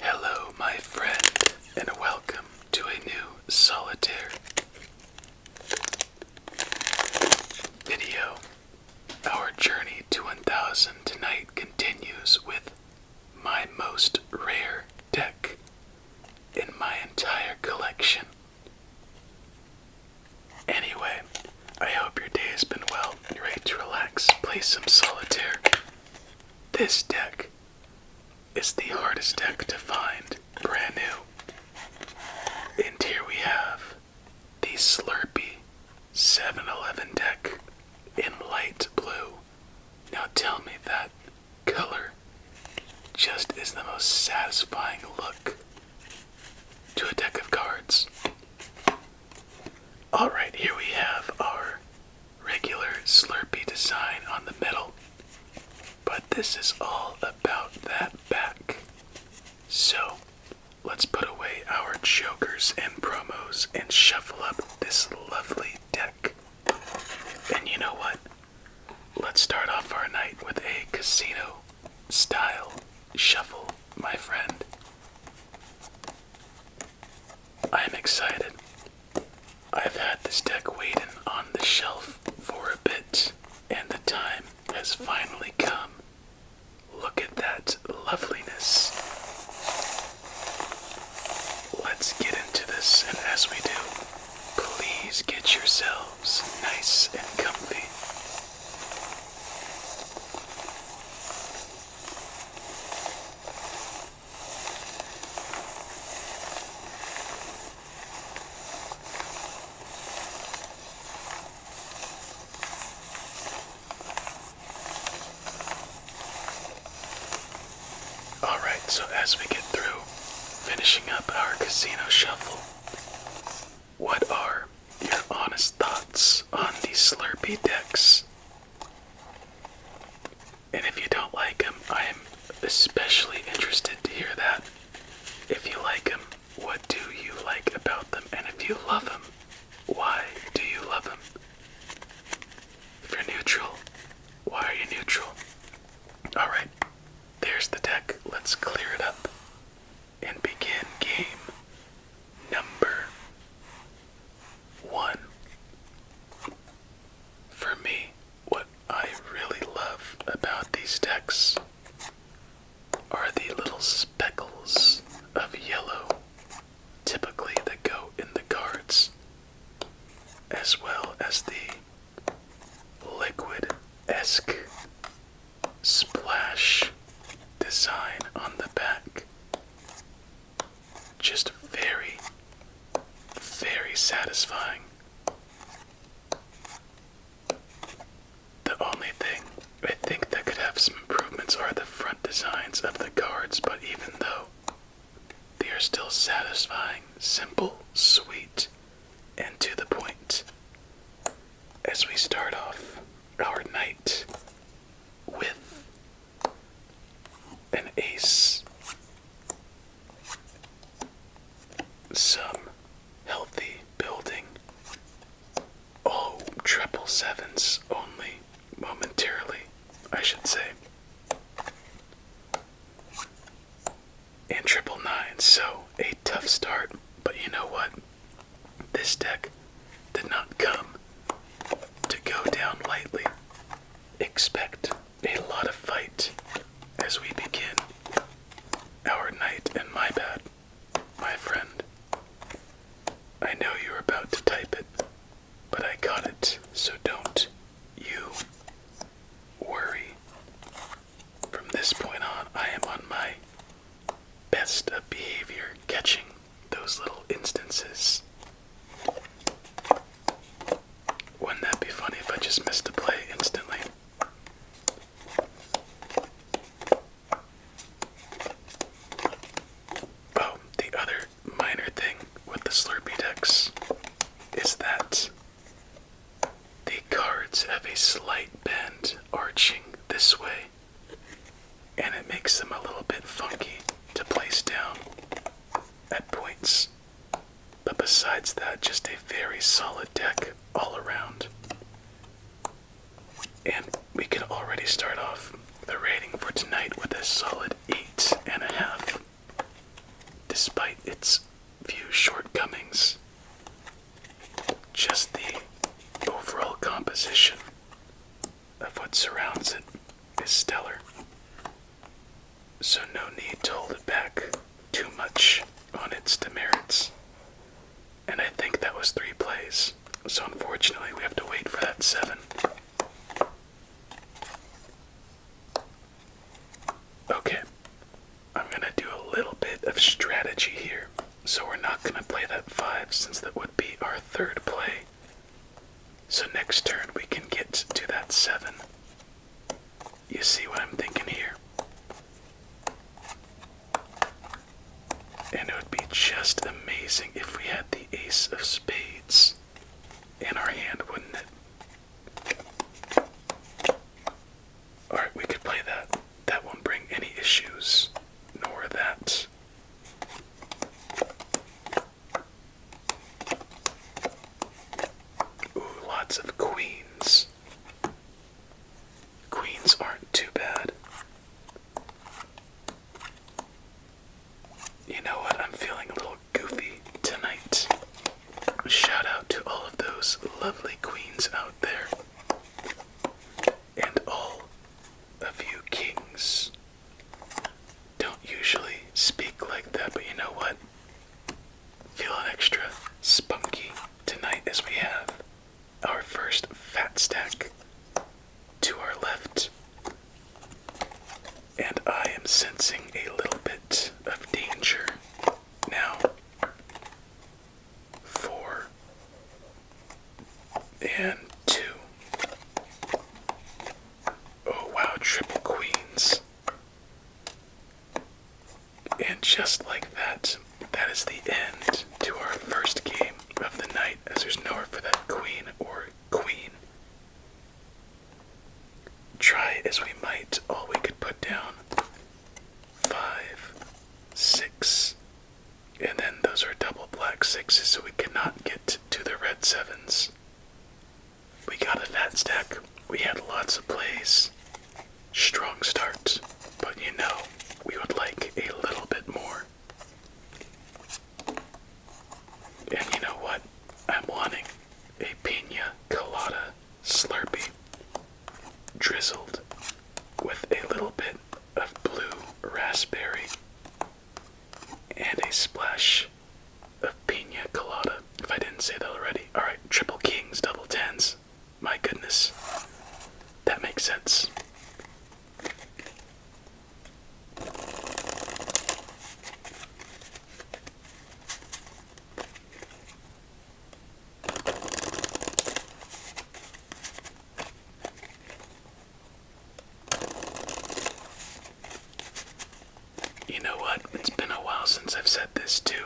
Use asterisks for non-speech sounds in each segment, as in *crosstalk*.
Hello, my friend, and welcome to a new solitaire video. Our journey to 1000 tonight continues with my most rare deck in my entire collection. Anyway, I hope your day has been well. You're ready to relax, play some solitaire. This deck is the hardest deck to find, brand new. And here we have the Slurpy 7 Eleven deck in light blue. Now tell me that color just is the most satisfying look to a deck of cards. Alright, here we have our regular Slurpee design on the middle, but this is all about that back. So, let's put away our jokers and promos and shuffle up this lovely deck. And you know what? Let's start off our night with a casino style shuffle, my friend. I'm excited. I've had this deck waiting on the shelf for a bit, and the time has finally come. Look at that loveliness. Let's get into this, and as we do, please get yourselves nice and comfy. All right, so as we get through finishing up our casino shuffle, what are your honest thoughts on the Slurpee decks and if you don't like him, I am especially interested to hear that. If you like him, what do you like about them? And if you love them, why do you love them? If you're neutral, why are you neutral? Alright, there's the deck. Let's clear it up and begin game number one, for me, what I really love about these decks are the little speckles of yellow, typically that go in the cards, as well as the liquid esque splash design on the back just very, very satisfying. The only thing I think that could have some improvements are the front designs of the cards, but even though they are still satisfying, simple, sweet, and to the point. As we start off our night with an ace, some healthy building. Oh, triple sevens only, momentarily, I should say. And triple nines, so a tough start, but you know what? This deck did not come to go down lightly. Expect a lot of fight as we begin our night in my bed, my friend. I know you're about to type it, but I got it, so don't you worry. From this point on, I am on my best of behavior catching those little instances. Wouldn't that be funny if I just missed a play instantly? Oh, the other minor thing with the Slurpee decks is that the cards have a slight bend arching this way and it makes them a little bit funky to place down at points. But besides that, just a very solid deck all around. And we can already start off the rating for tonight with a solid 8.5, despite its few shortcomings. Just the overall composition of what surrounds it is stellar, so no need to hold it back too much on its demerits. And I think that was three plays, so unfortunately we have to wait for that seven. Okay, I'm gonna do a little bit of strategy here. So we're not gonna play that five since that would be our third play. So next turn we can get to that 7. You see what I'm thinking here? And it would be just amazing if we had the Ace of Spades in our hand, wouldn't it? Alright, we could play that. That won't bring any issues, nor that. Ooh, lots of queens. Queens aren't too bad. You know what? I'm feeling a little goofy tonight. Shout out to all of those lovely queens out there, and all of you kings don't usually speak like that, but you know what? Feeling extra spunky tonight as we have our first fat stack to our left. And I am sensing a little bit of danger now for and two. Oh wow, triple queens. And just like that, that is the end to our first game of the night, as there's nowhere for that queen or queen. Try as we might, all we could put down five, six, and then those are double black sixes, so we cannot get to the red sevens. We got a fat stack. We had lots of plays. Strong starts, But you know, we would like a little bit more. And you know what? I'm wanting a pina colada slurpee drizzled with a little bit of blue raspberry and a splash of pina colada. If I didn't say that already. Alright, triple kings, double tens. My goodness. That makes sense. You know what? It's been a while since I've said this too.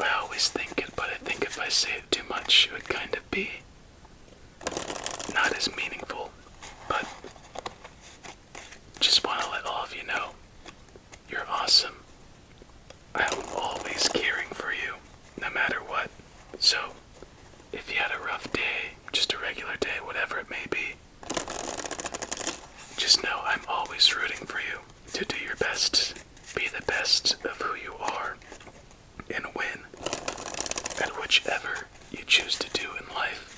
I always think it, but I think if I say it too much, it would kind of be not as meaningful. But just want to let all of you know you're awesome. I'm always caring for you, no matter what. So if you had a rough day, just a regular day, whatever it may be, just know I'm always rooting for you to do your best, be the best of who you are, and win at whichever you choose to do in life.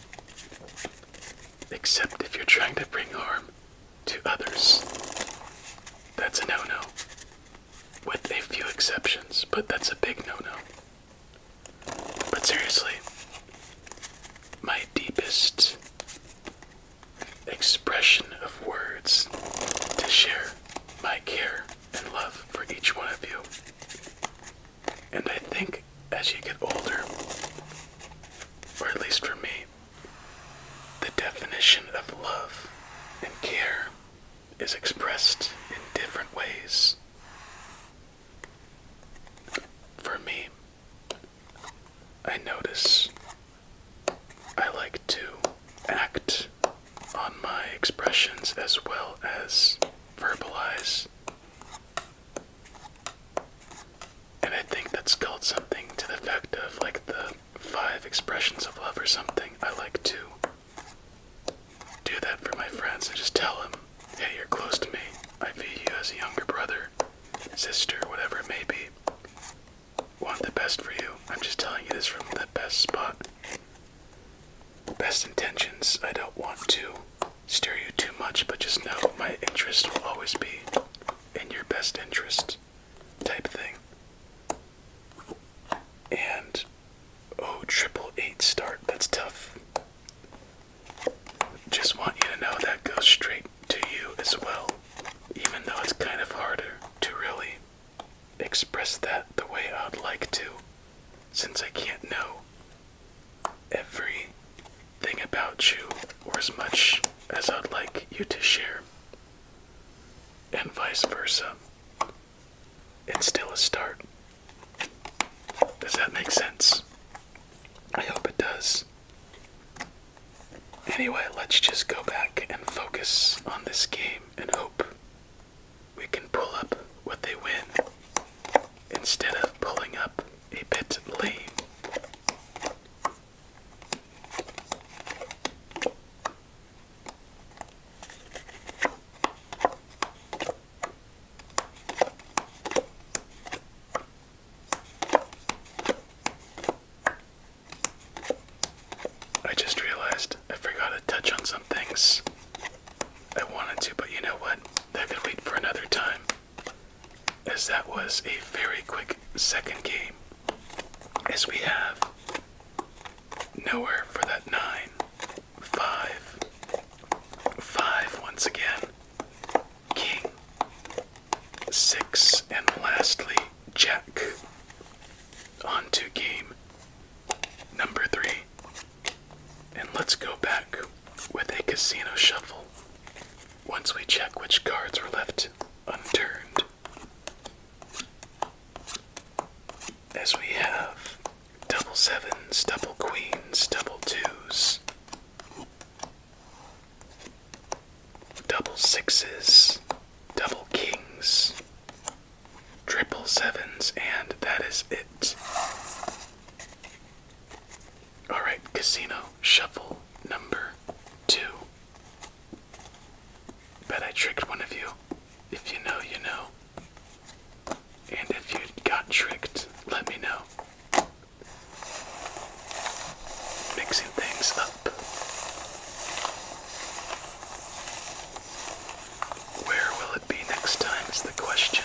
Except if you're trying to bring harm to others. That's a no no. With a few exceptions, but that's a big no no. But seriously, my deepest expression of words to share my care and love for each one of you. And I think as you get older, or at least for me, the definition of love and care is expressed in different ways. For me, I notice I like to act on my expressions as well as verbalize. And I think that's called something to the effect of like the five expressions of love or something. I like to do that for my friends just tell them, hey, you're close to me. I view you as a younger brother, sister, whatever it may be. Want the best for you. I'm just telling you this from the best spot. Best intentions. I don't want to steer you too much, but just know my interest will always be in your best interest type thing. And Oh, triple eight start. That's tough. Just want you to know that goes straight to you as well, even though it's kind of harder to really express that the way I'd like to, since I can't know everything about you or as much as I'd like you to share, and vice versa it's still a start. Does that make sense? I hope it does. Anyway, let's just go back and focus on this game and hope we can pull up what they win instead of pulling up a bit lame. I just realized I forgot to touch on some things. I wanted to, but you know what? That could wait for another time. As that was a very quick second game. As we have nowhere for that nine. Five. Five once again. King. Six. And lastly, Jack. On to game number three. And let's go back with a casino shuffle. Once we check which cards were left unturned, as we have double sevens, double queens, double twos, double sixes, double kings, triple sevens, and that is it. Alright, casino shuffle number two. Bet I tricked one of you. If you know, you know. And if you got tricked, let me know. Mixing things up. Where will it be next time is the question.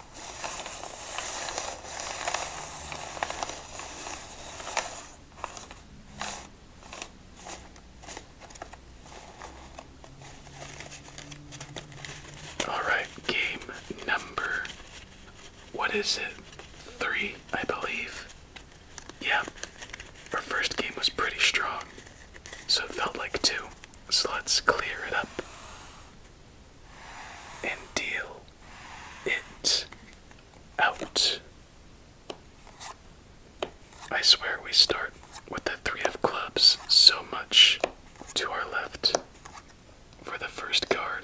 All right, game number. What is it? Three, I believe. Yeah, our first game was pretty strong, so it felt like two. So let's clear it up and deal it out. I swear we start with the three of clubs so much to our left for the first card.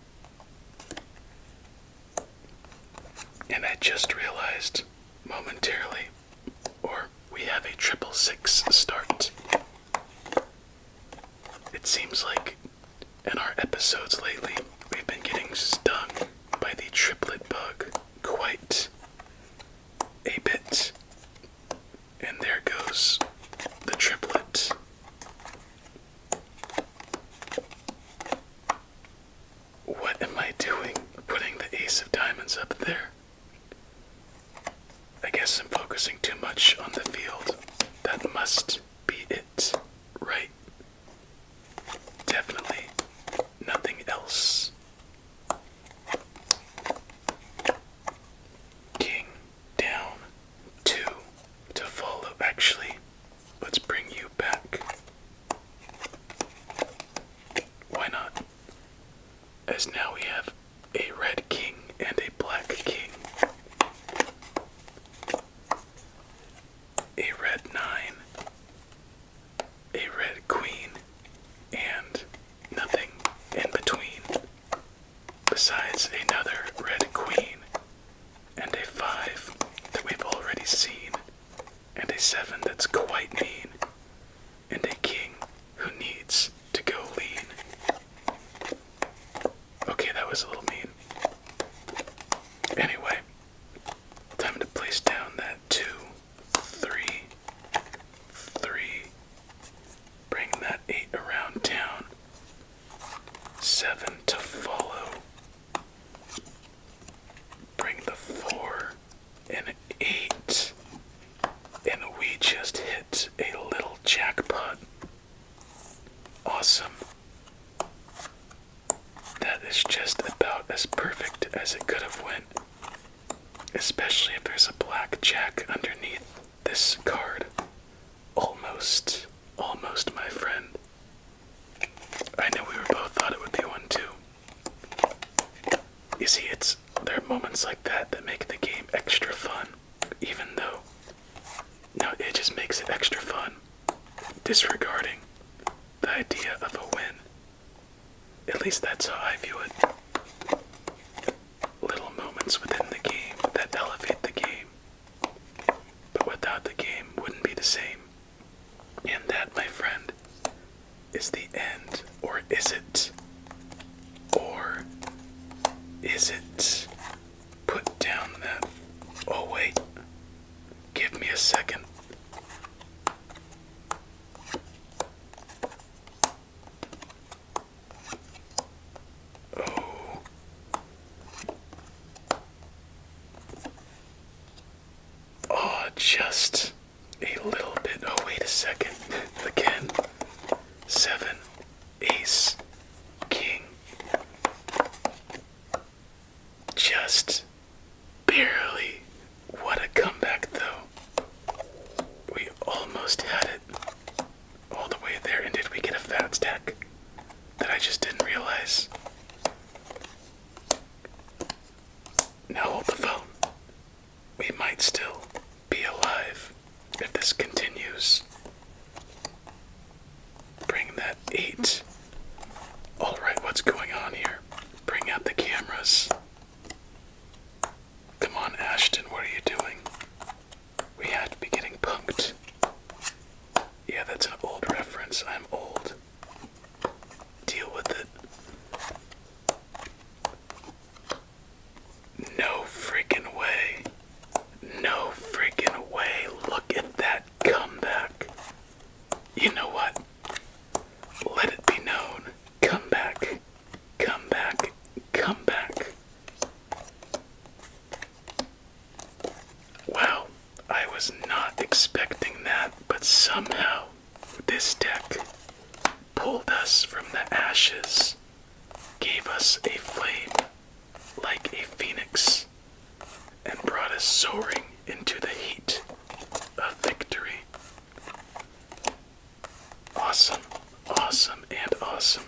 And I just realized momentarily, or we have a triple six start. It seems like in our episodes lately, we've been getting stung by the triplet bug quite a bit. And there goes the triplet. What am I doing putting the ace of diamonds up there? I guess I'm focusing too much on the field. That must be it, right? Definitely nothing else. King down two to follow. Actually, Let's bring you back. Why not? As now we have a red king and a black king. A red nine, a red queen, and nothing in between besides another red queen and a 5 that we've already seen, and a 7 that's quite mean, and a king who needs to go lean. Okay, that was a little mean. Anyway, time to place down that 2, 3, Bring that 8 around town. Seven to follow. Bring the four and eight. And we just hit a little jackpot. Awesome. That is just about as perfect as it could have went. Especially if there's a black jack underneath this card. Almost. Almost my friend. I know we were both thought it would be one too. You see, it's their moments like that that make the game extra fun, even though no, it just makes it extra fun. Disregarding the idea of a win. At least that's how I view it. Little moments within the game that elevate the game but without the game, wouldn't be the same. And that, my friend, is the end, or is it? Or is it? Put down that. Oh, wait. Give me a second. Oh. Oh, just a little bit. Oh, wait a second. *laughs* Again. Seven, ace, king. Just barely. What a comeback, though. We almost had it all the way there. And did we get a fat stack? that I just didn't realize. Now hold the phone. We might still be alive if this continues. Bring that eight. Alright, what's going on here? Bring out the cameras. Come on, Ashton, what are you doing? We have to be getting punked. Yeah, that's an old reference. I'm old. Deal with it. No freaking way. No freaking way. Look at that comeback. You know what? Let it be known. Come back. Come Wow, I was not expecting that, but somehow this deck pulled us from the ashes, gave us a flame like a phoenix, and brought us soaring into the heat of victory. Awesome, awesome, and awesome.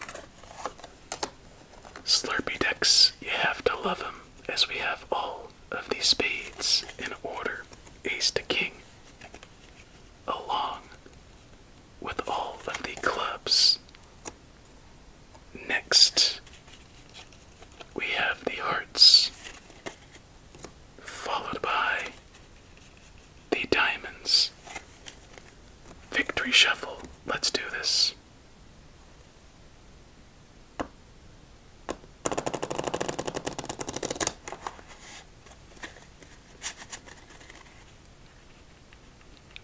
Slurpy decks, you have to love them, as we have all of these spades in order, ace to king, along with all of the clubs. Next, we have the hearts, followed by the diamonds. Victory shuffle, let's do this.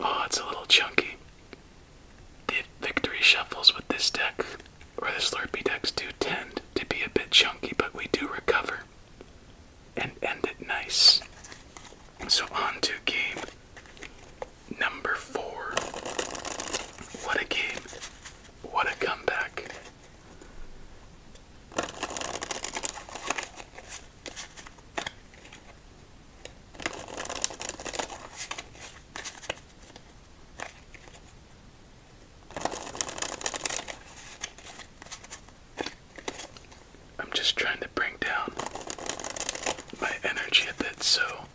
Oh, it's a little chunky. The victory shuffles with this deck, or the Slurpy decks, do tend to be a bit chunky, but we do recover and end it nice. So on to game Number four. What a game. What a comeback. I'm just trying to bring down my energy a bit so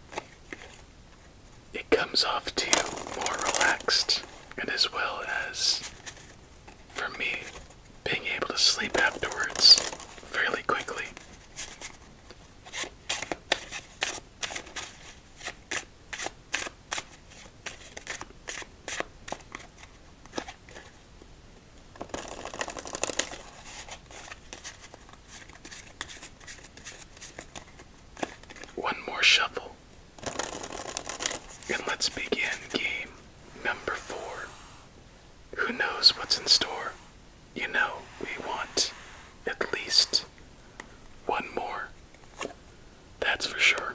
it comes off to you more relaxed, and as well as for me being able to sleep afterwards fairly quickly. One more shuffle. And let's begin game number four. Who knows what's in store? You know, we want at least one more. That's for sure.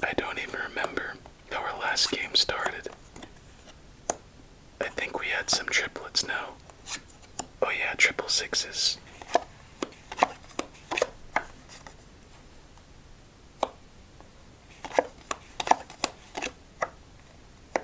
I don't even remember how our last game started. I think we had some triplets now. Oh, yeah, triple sixes.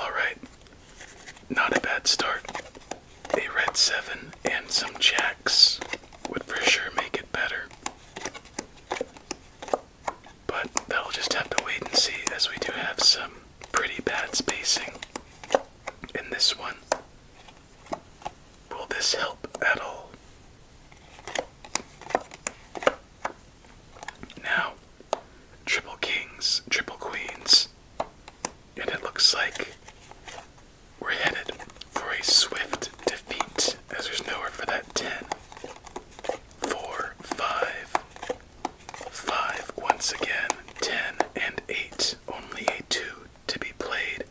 All right, not a bad start. A red seven and some jacks would for sure make it better. But that'll just have to wait and see as we do have some pretty bad spacing in this one. Will this help at all? Now, triple kings, triple queens, and it looks like we're headed for a swift defeat as there's nowhere for that 10, 4, 5, Five once again, ten and eight, only a two to be played.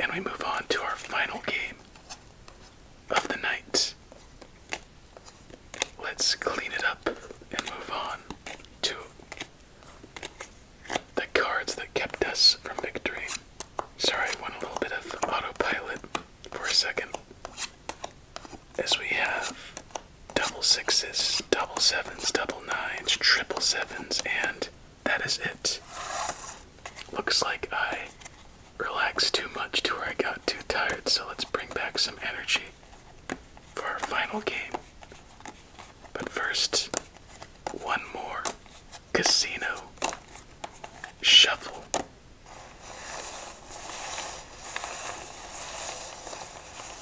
And we move on to our final game of the night. Let's clean it up and move on to the cards that kept us from victory. Sorry, I went a little bit of autopilot for a second as we have double sixes, double sevens, double nines, triple sevens, and that is it. Looks like I relaxed too much to where I got too tired, so let's bring back some energy for our final game. But first, one more casino shuffle.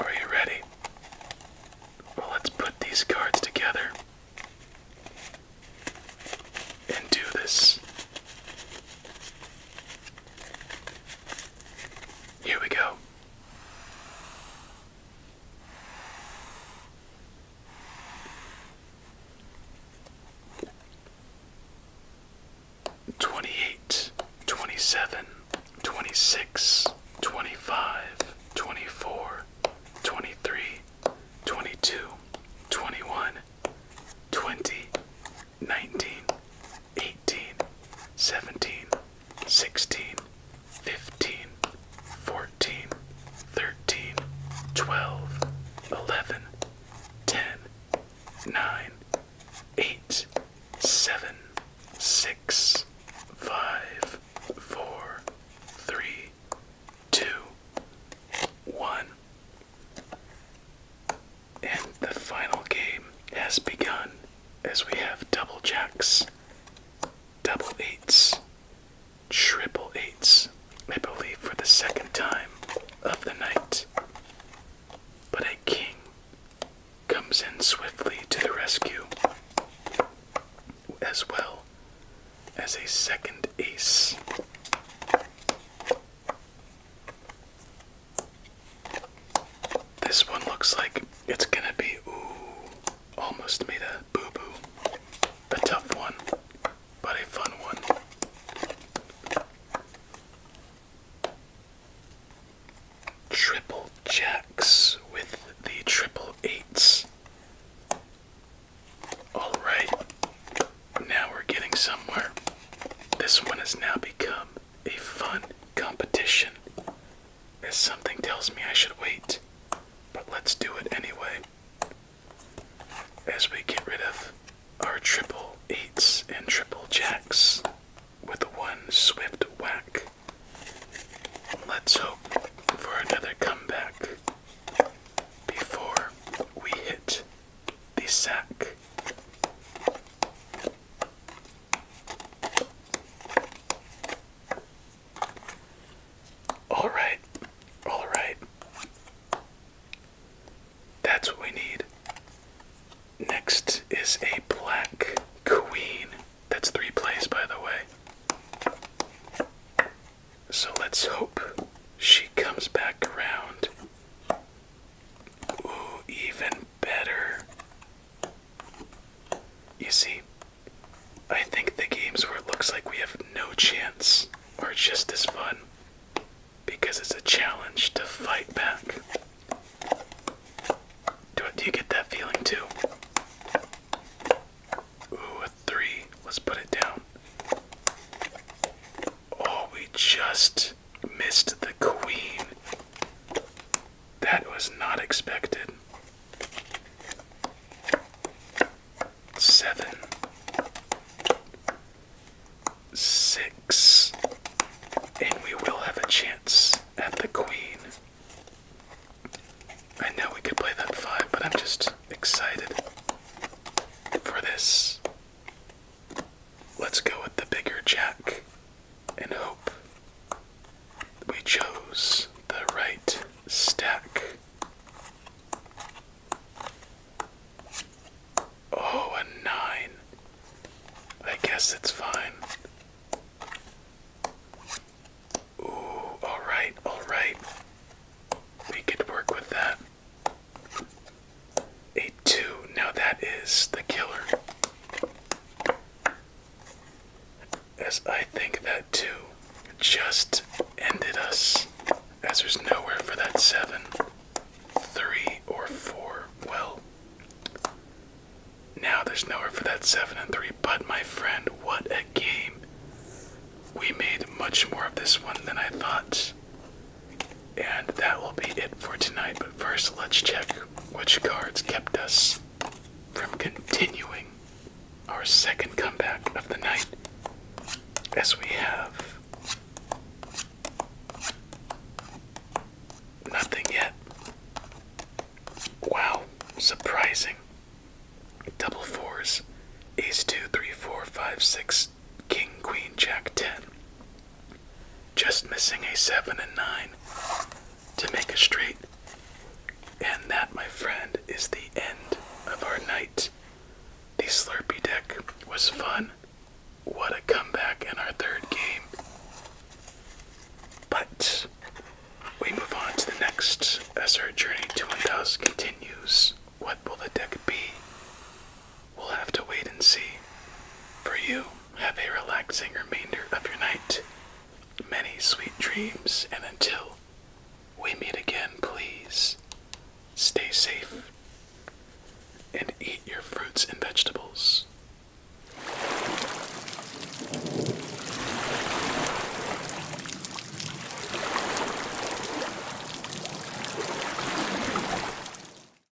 Are you ready? Well, let's put these cards together and do this. Here we go. Twenty eight, twenty seven, twenty six, twenty five, twenty four, twenty three, twenty two, twenty one, twenty, 19, 18, 17, 16, 15, 14, 13, 12, 11, 10, 9, 8, 7, 6, 5, 4, 3, 2, 1. And the final game has begun as we have double jacks, double eights, triple eights, I believe for the second time of the night. But a king comes in swiftly to the rescue, as well as a second ace. This one looks like it's gonna be, ooh, almost made a boo boo. A tough one, but a fun one. Triple jacks with the triple eights. Alright, now we're getting somewhere. This one has now become a fun competition, as something tells me I should wait, but let's do it anyway. As we get rid of our triple eights and triple jacks with one swift whack, let's hope for another comeback before we hit the sack. All right, all right. That's what we need. Next is a black queen. That's three plays, by the way. So let's hope she comes back around. Ooh, even better. You see, I think the games where it looks like we have no chance are just as fun because it's a challenge to fight back. Do, do you get that feeling too? Ooh, a three. Let's put it down. Oh, we just missed the Queen. That was not expected. Seven. Six. And we will have a chance at the Queen. I know we could play that five, but I'm just excited for this. Let's go with the bigger jack and hope we chose the right stack. Oh, a nine. I guess it's fine. Ooh, alright, alright. We could work with that. A two. Now that is the killer. As I think that two just ended us, as there's nowhere for that seven, three, or four. Well, now there's nowhere for that seven and three, but my friend, what a game! We made much more of this one than I thought. And that will be it for tonight. But first, let's check which cards kept us from continuing our second comeback of the night. As we have nothing yet. Wow, surprising. Double fours. Ace two, three, four, five, six, king, queen, jack, ten just missing a 7 and 9 to make a straight. And that, my friend, is the end of our night. The Slurpee deck was fun. What a comeback in our third game. But we move on to the next as our journey to 1000 continues. What will the deck be? We'll have to wait and see. For you, have a relaxing remainder of your night, many sweet dreams, and until we meet again, please stay safe and eat your fruits and vegetables.